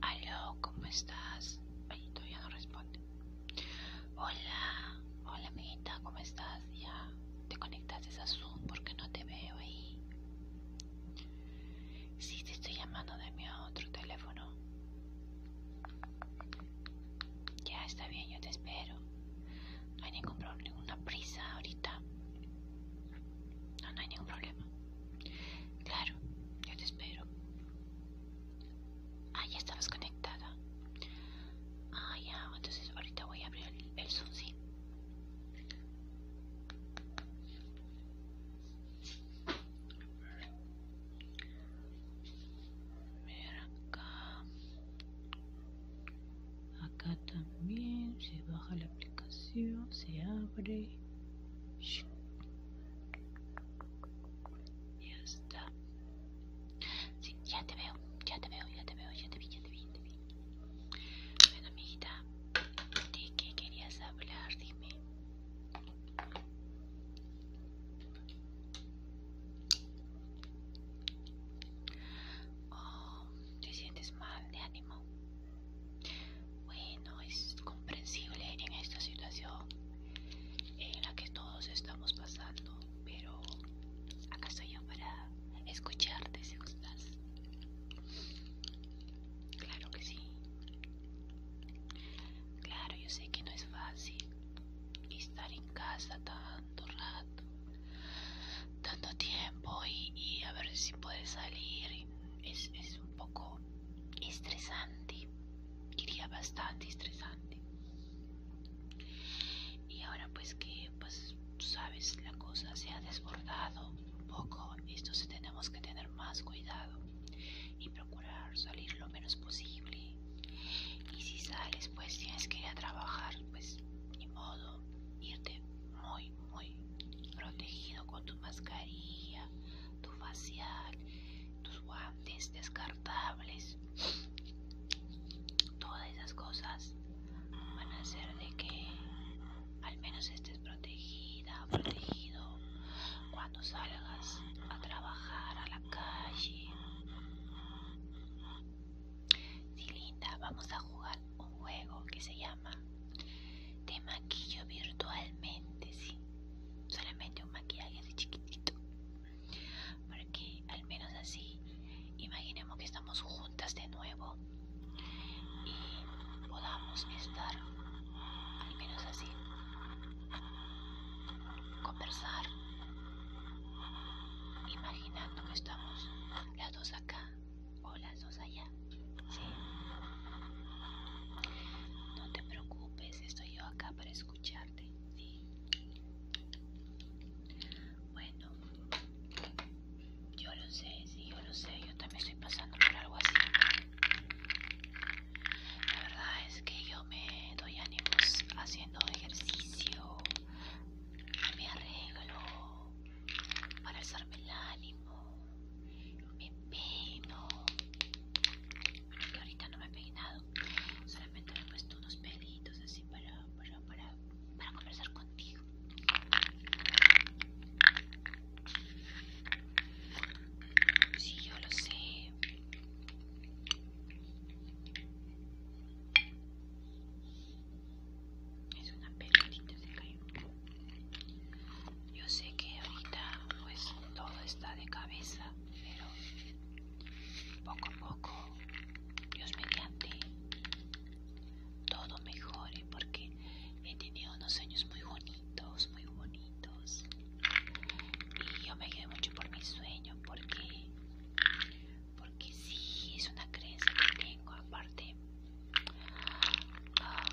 Aló, ¿cómo estás? Ay, todavía no responde. Hola, hola amiguita, ¿cómo estás? Ya te conectaste a Zoom porque no te veo ahí. Si te estoy llamando de mi otro teléfono. Ya está bien, yo te espero. No hay ningún problema, ninguna prisa ahorita. No, hay ningún problema. Claro, yo te espero. Ah, ya estabas conectada. Ah, ya, entonces ahorita voy a abrir el, el Zoom, sí mira acá también se baja la aplicación se abre ya está sí, ya te veo ya te veo ya te veo ya te vi ya te vi bueno, amiguita, ¿de qué querías hablar? Dime. Oh, ¿te sientes mal de ánimo? Bueno, es comprensible en esta situación en la que todos estamos pasando, pero acá estoy yo para escucharte si gustas. Claro que sí. Claro, yo sé que no es fácil estar en casa tanto rato, tanto tiempo y, a ver si puedes salir. Es, es un poco estresante, diría bastante estresante. Y ahora pues que pues sabes, la cosa se ha desbordado un poco. Esto tenemos que tener más cuidado y procurar salir lo menos posible. Y si sales, pues tienes que ir a trabajar, pues ni modo, irte muy, muy protegido con tu mascarilla, tu facial, tus guantes descartables. Todas esas cosas van a hacer de que al menos estés protegida, protegido cuando salgas a trabajar a la calle. Sí, linda, vamos a jugar un juego que se llama Te maquillo virtualmente, sí. Solamente un maquillaje de chiquitito. Porque al menos así imaginemos que estamos juntas de nuevo y podamos estar, al menos así, conversar, imaginando que estamos las dos acá o las dos allá. ¿sí? No te preocupes, estoy yo acá para escucharte. ¿sí? Bueno, yo lo sé, sí, yo lo sé, yo también estoy pasando por algo así. La verdad es que yo me doy ánimos haciendo ejercicio, me arreglo para alzarme el ánimo, me peino. Bueno, que ahorita no me he peinado, solamente me he puesto unos pelitos así para, para para conversar contigo. si yo lo sé. Es una pelotita, se cayó. Yo sé que ahorita pues todo está de cabeza, pero poco a poco, Dios mediante, todo mejore ¿eh? porque he tenido unos sueños muy bonitos, muy bonitos. Y yo me quedé mucho por mis sueños porque, porque sí, es una creencia que tengo. Aparte, ah,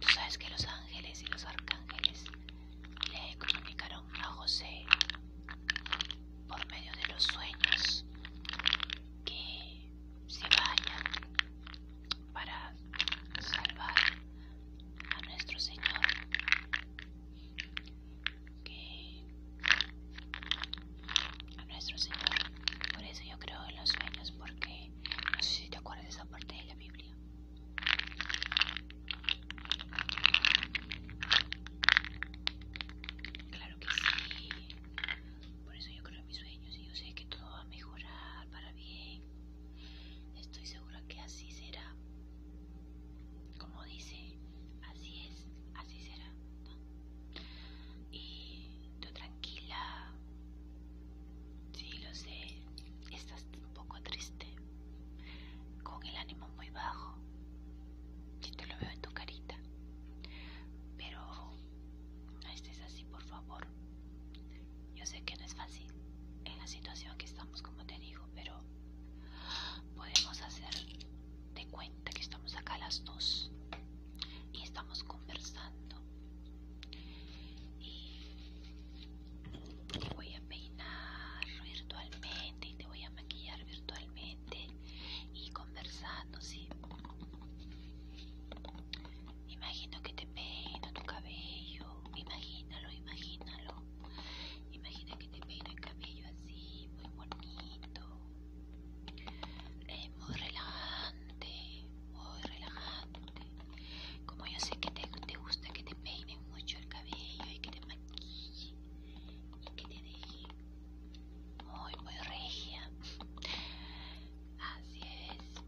tú sabes que los ángeles y los arcángeles le comunicaron a José por medio de los sueños que se vayan para salvar a nuestro Señor que a nuestro Señor por eso yo creo en los sueños porque no sé si te acuerdas de esa parte de la Biblia que sí. Por eso yo creo en mis sueños y yo sé que todo va a mejorar para bien. Estoy segura que así será. Como dice, así es, así será. Y tú tranquila. Sí, lo sé. Estás un poco triste. Con el ánimo muy bajo. Si te lo veo en tu carita. Pero no estés así, por favor. Yo sé que no es fácil en la situación que estamos, como te digo, pero podemos hacer de cuenta que estamos acá las dos y estamos conversando. Y te voy a peinar virtualmente y te voy a maquillar virtualmente y conversando, Imagino que te peino tu cabello, imagínalo, imagínalo. Imagina que te peino el cabello así, muy bonito. Eh, muy relajante, muy relajante. Como yo sé que te, gusta que te peine mucho el cabello y que te maquille y que te deje muy muy regia así es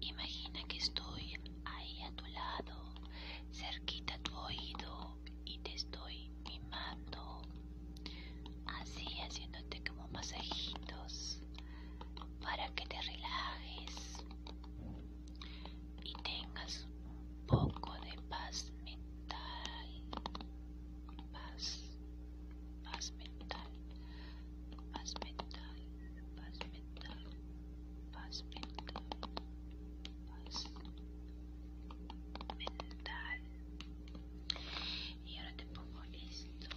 imagina que estoy ahí a tu lado cerquita a tu oído y te estoy mimando así haciéndote como masajitos para que te relajes y tengas un poco de paz mental, paz, paz mental, paz mental, paz mental, paz mental, paz mental. Y ahora te pongo esto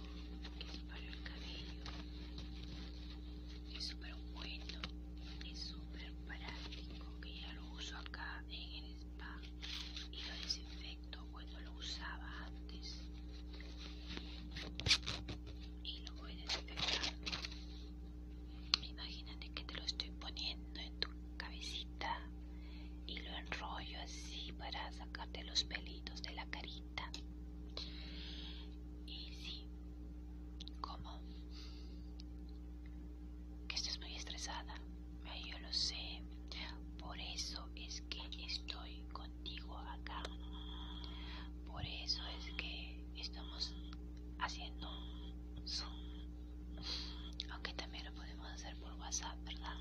que es para el cabello es súper bueno, es súper práctico, que ya lo uso acá en el spa y lo desinfecto cuando lo usaba antes y lo voy desinfectando. Imagínate que te lo estoy poniendo en tu cabecita y lo enrollo así para sacarte los pelitos de la carita. Y sí, como Que estás muy estresada. Yo lo sé. Por eso es que estoy contigo acá. Por eso es que estamos haciendo Zoom. Aunque también lo podemos hacer por WhatsApp, ¿verdad?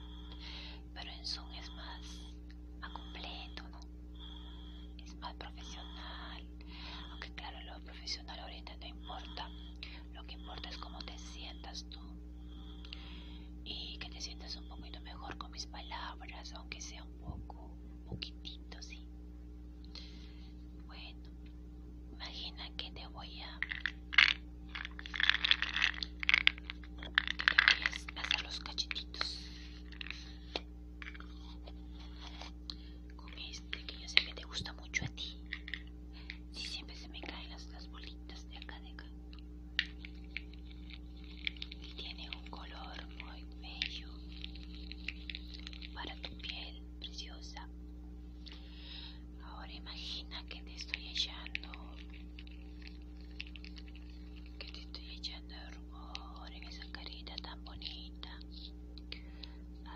Pero en Zoom es más a completo, ¿no? Es más profesional. Aunque claro, lo profesional ahorita no importa. Lo que importa es cómo te sientas tú. Y que te sientas un poquito mejor con mis palabras, aunque sea un poco, un poquitito, sí. Bueno, imagina que te voy a... Que te voy a hacer los cachetitos con este que yo sé que te gusta mucho a ti si siempre se me caen las, bolitas de acá de acá y tiene un color muy bello para tu piel preciosa ahora imagina que te estoy echando que te estoy echando de rumor en esa carita tan bonita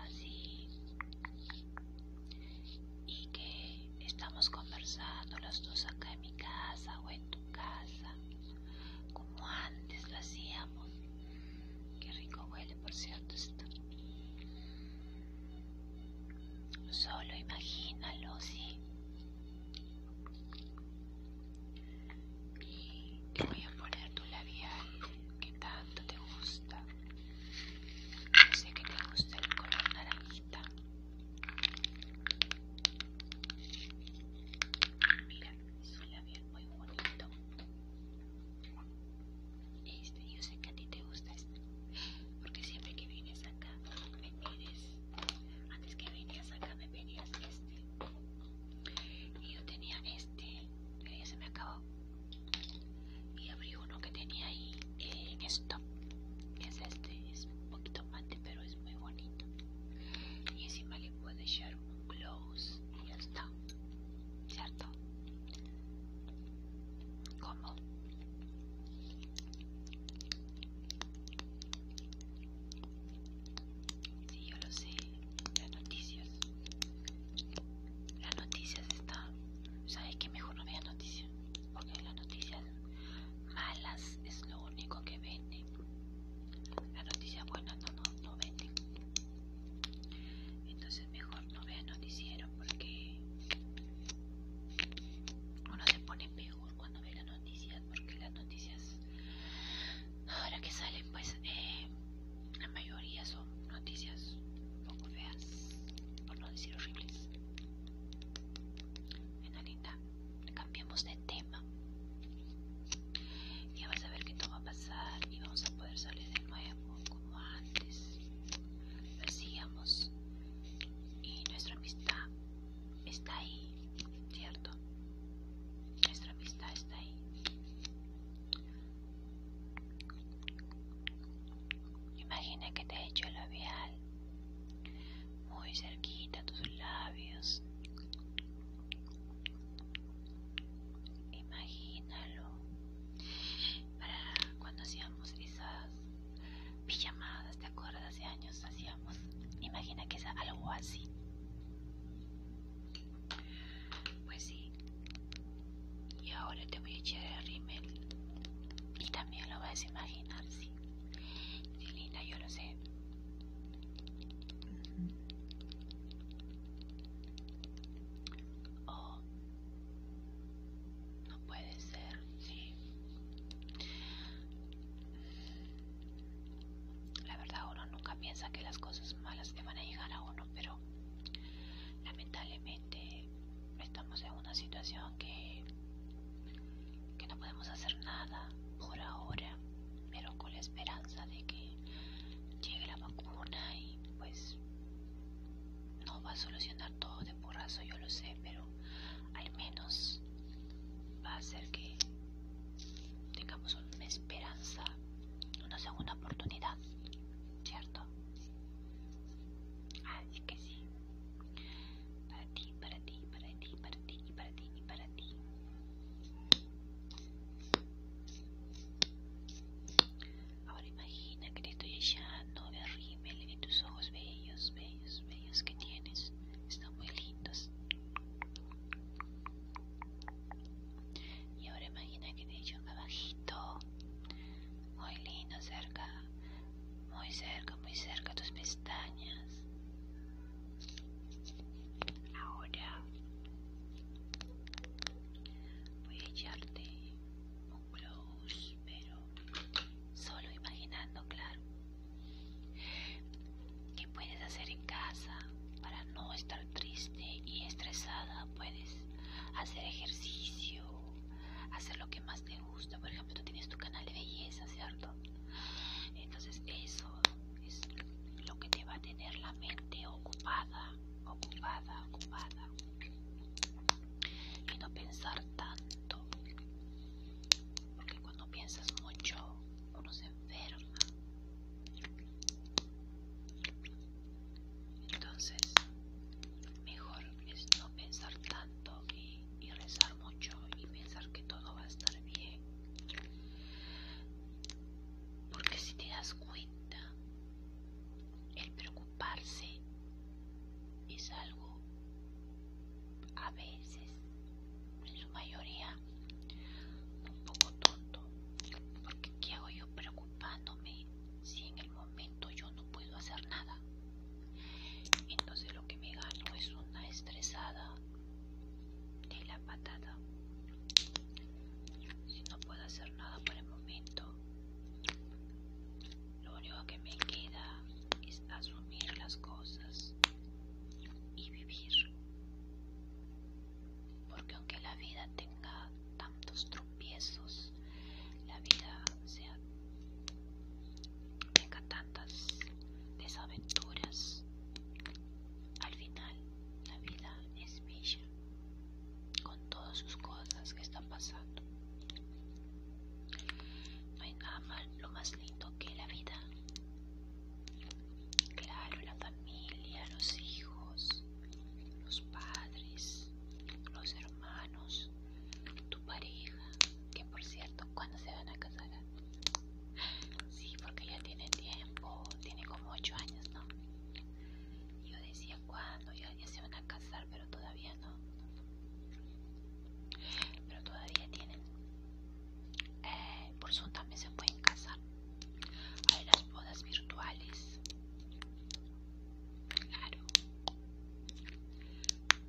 así y que estamos conversando los dos acá en mi casa o en tu casa como antes lo hacíamos que rico huele por cierto esto solo imagínalo sí y te voy a poner tu labial que tanto te gusta. Yo sé que te gusta el color naranjita. Mira, es un labial muy bonito. Este, yo sé que a ti te gusta este, porque siempre que vienes acá me pides, antes que venías acá me pedías este. Y yo tenía este, que se me acabó. Y abrí uno que tenía ahí eh, en esto. Es este, es un poquito mate, pero es muy bonito. Y encima le puedo echar un gloss y ya está. ¿Cierto? ¿Cómo? Sí, yo lo sé. Las noticias. Las noticias están... ¿Sabes que Mejor no veas noticias. Porque las noticias malas es lo único que venden. Las noticias buenas no, no, no venden. Entonces mejor no veas noticiero porque uno se pone peor cuando ve las noticias porque las noticias ahora que salen pues eh, la mayoría son noticias un poco feas por no decir horribles Venga linda cambiemos de tema ya vas a ver qué todo va a pasar y vamos a poder salir del nuevo como antes persigamos y nuestra amistad está ahí, ¿cierto? Nuestra amistad está ahí. Imagina que te he hecho el labial muy cerquita a tus labios. Imagínalo. Para cuando hacíamos esas pijamadas, ¿te acuerdas? hace años hacíamos. Imagina que es algo así. Pues sí. Y ahora te voy a echar el rimel Y también lo vas a imaginar, sí. Sí, linda, yo lo sé. Oh. No puede ser, sí. La verdad uno nunca piensa que las cosas malas le van a llegar a uno, pero lamentablemente estamos en una situación que, que no podemos hacer nada por ahora, pero con la esperanza de que llegue la vacuna y pues no va a solucionar todo de porrazo, yo lo sé, pero al menos va a hacer que tengamos una esperanza, una segunda oportunidad, ¿cierto? Así ah, que sí, para ti, para ti, para ti, para ti, para ti, para ti. Ahora imagina que te estoy echando de en tus ojos bellos, bellos, que tienes están muy lindos Y ahora imagina que te echo abajito, muy lindo, cerca, muy cerca, muy cerca tus pestañas. Ahora voy a echarte un close, pero solo imaginando, claro. ¿Qué puedes hacer en casa para no estar triste y estresada? Puedes hacer ejercicio, hacer lo que más te gusta. Por ejemplo, tú tienes tu canal de belleza, ¿cierto? Entonces eso es lo que te va a tener la mente ocupada, ocupada, ocupada. Y no pensar tanto. Porque cuando piensas mucho uno se enferma. Entonces, mejor es no pensar tanto y, rezar mucho y pensar que todo va a estar bien. Porque si te das cuenta, el preocuparse es algo a veces, en su mayoría, un poco tonto, porque ¿qué hago yo preocupándome si en el momento yo no puedo hacer nada? Entonces lo que me gano es una estresada de la patada Si no puedo hacer nada por el momento, lo único que me queda es asumir las cosas y vivir. Porque aunque la vida tenga tantos tropiezos, la vida sea, tenga tantas desaventuras, al final la vida es bella con todas sus cosas que están pasando no hay nada lo más lindo que la vida. Claro, la familia, los hijos, los padres, los hermanos, tu pareja, que por cierto, ¿cuando se van a casar? Sí, porque ya tiene tiempo, tiene como 8 años, ¿no? Yo decía, ¿cuándo? Ya, ya se van a casar, pero todavía pero todavía tienen. Eh, por su también se pueden casar. Hay las bodas virtuales. Claro.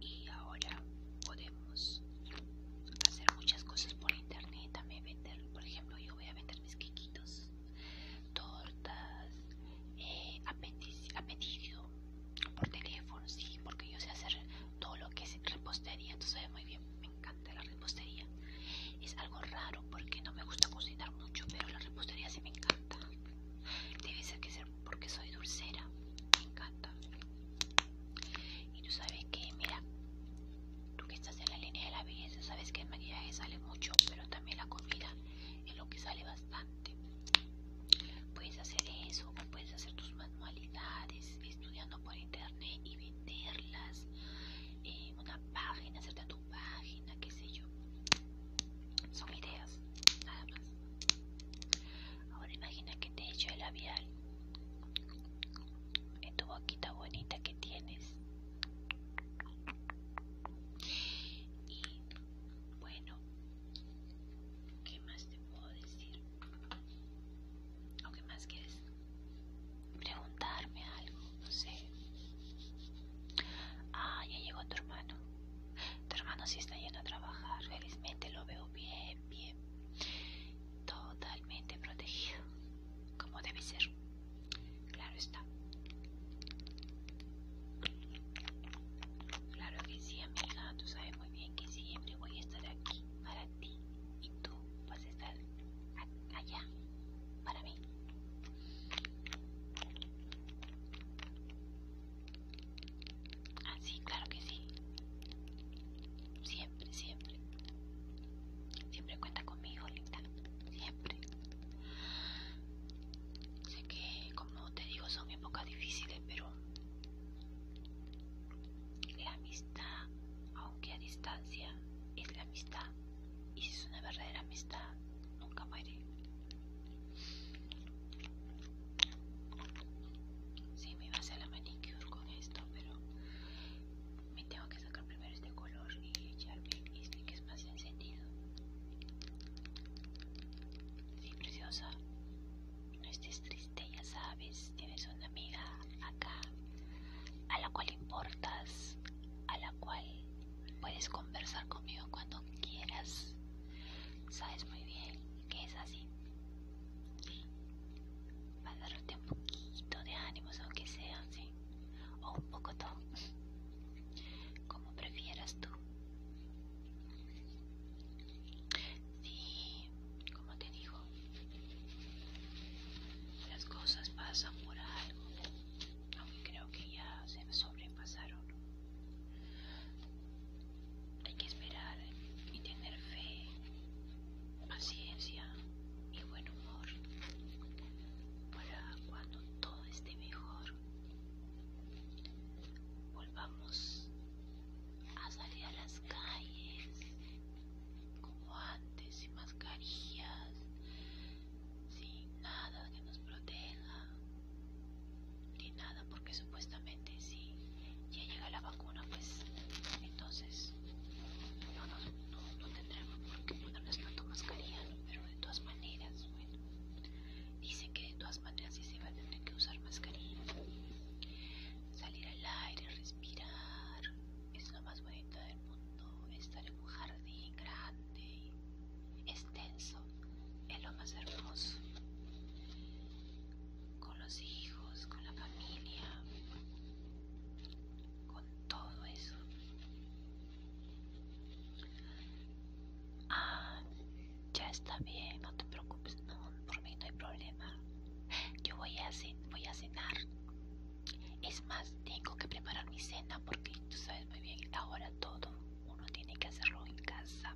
Y ahora podemos hacer muchas cosas por internet. También vender, por ejemplo, yo voy a vender mis quequitos, tortas, eh, por teléfono, sí, porque yo sé hacer todo lo que es repostería, sabes muy bien, me encanta la repostería. Es algo raro porque no me gusta cocinar mucho, pero la repostería sí me encanta. Debe ser que ser porque soy dulcera, me encanta. Y tú sabes que, mira, tú que estás en la línea de la belleza, sabes que el maquillaje sale mucho, pero también la comida es lo que sale bastante. Puedes hacer eso, puedes hacer tus manualidades estudiando por internet y venderlas en eh, una página, hacerte tu página, qué sé yo. Son ideas, nada más. Ahora imagina que te echo el labial en tu boquita bonita que tienes. Y bueno, ¿Qué más te puedo decir? ¿O qué más quieres? Preguntarme algo, no sé. Ah, ya llegó tu hermano. Tu hermano sí está yendo a trabajar. Felizmente lo veo bien, bien. Totalmente protegido. Como debe ser. Claro está. Claro que sí, amiga, tú sabes muy bien que siempre voy a estar aquí para ti y tú vas a estar allá para mí. Así, ah, sí, claro que sí. Siempre, siempre. Siempre cuenta conmigo, linda. Siempre. Sé que, como te digo, son épocas difíciles, pero la amistad, aunque a distancia, es la amistad. Y si es una verdadera amistad, nunca muere. Sí, me iba a hacer la manicure con esto, pero me tengo que sacar primero este color y echarme este que es más encendido. Sí, preciosa. No estés triste, ya sabes. Tienes una amiga acá a la cual importas, a la cual puedes conversar conmigo cuando quieras. Sabes muy bien que es así. Va a darte un poquito de ánimos, aunque sea, ¿sí? O un poco todo. Como prefieras tú. Sí, como te digo, las cosas pasan por algo, aunque creo que ya se sobrepasaron. Hay que esperar y tener fe, paciencia y buen humor para cuando todo esté mejor. Volvamos a salir a las calles como antes, sin mascarillas, sin nada que nos proteja, ni nada, porque supuestamente si ya llega la vacuna, pues entonces no, no, no tendremos tanto mascarilla, pero de todas maneras, bueno, Dicen que de todas maneras sí se va a tener que usar mascarilla. Salir al aire, respirar. Es lo más bonito del mundo. Estar en un jardín grande, extenso. Es lo más hermoso. Con los hijos, con la familia. Con todo eso. Ah, ya está bien, no te preocupes, no, por mí no hay problema. Yo voy a, cenar. Es más, tengo que preparar mi cena porque tú sabes muy bien, ahora todo uno tiene que hacerlo en casa.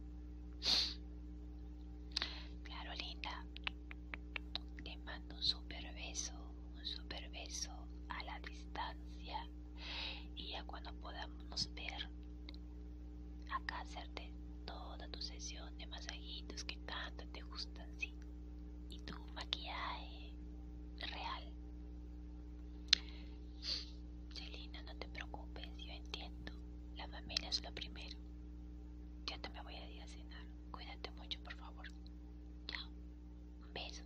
Claro, linda. Te mando un super beso, un super beso a la distancia. Y ya cuando podamos ver acá hacerte toda tu sesión de masajitos que tanto te gustan, sí. Y tu maquillaje real. Celina, no te preocupes, yo entiendo. La familia es lo primero. Yo te me voy a ir a cenar. Cuídate mucho, por favor. Chao. Un beso.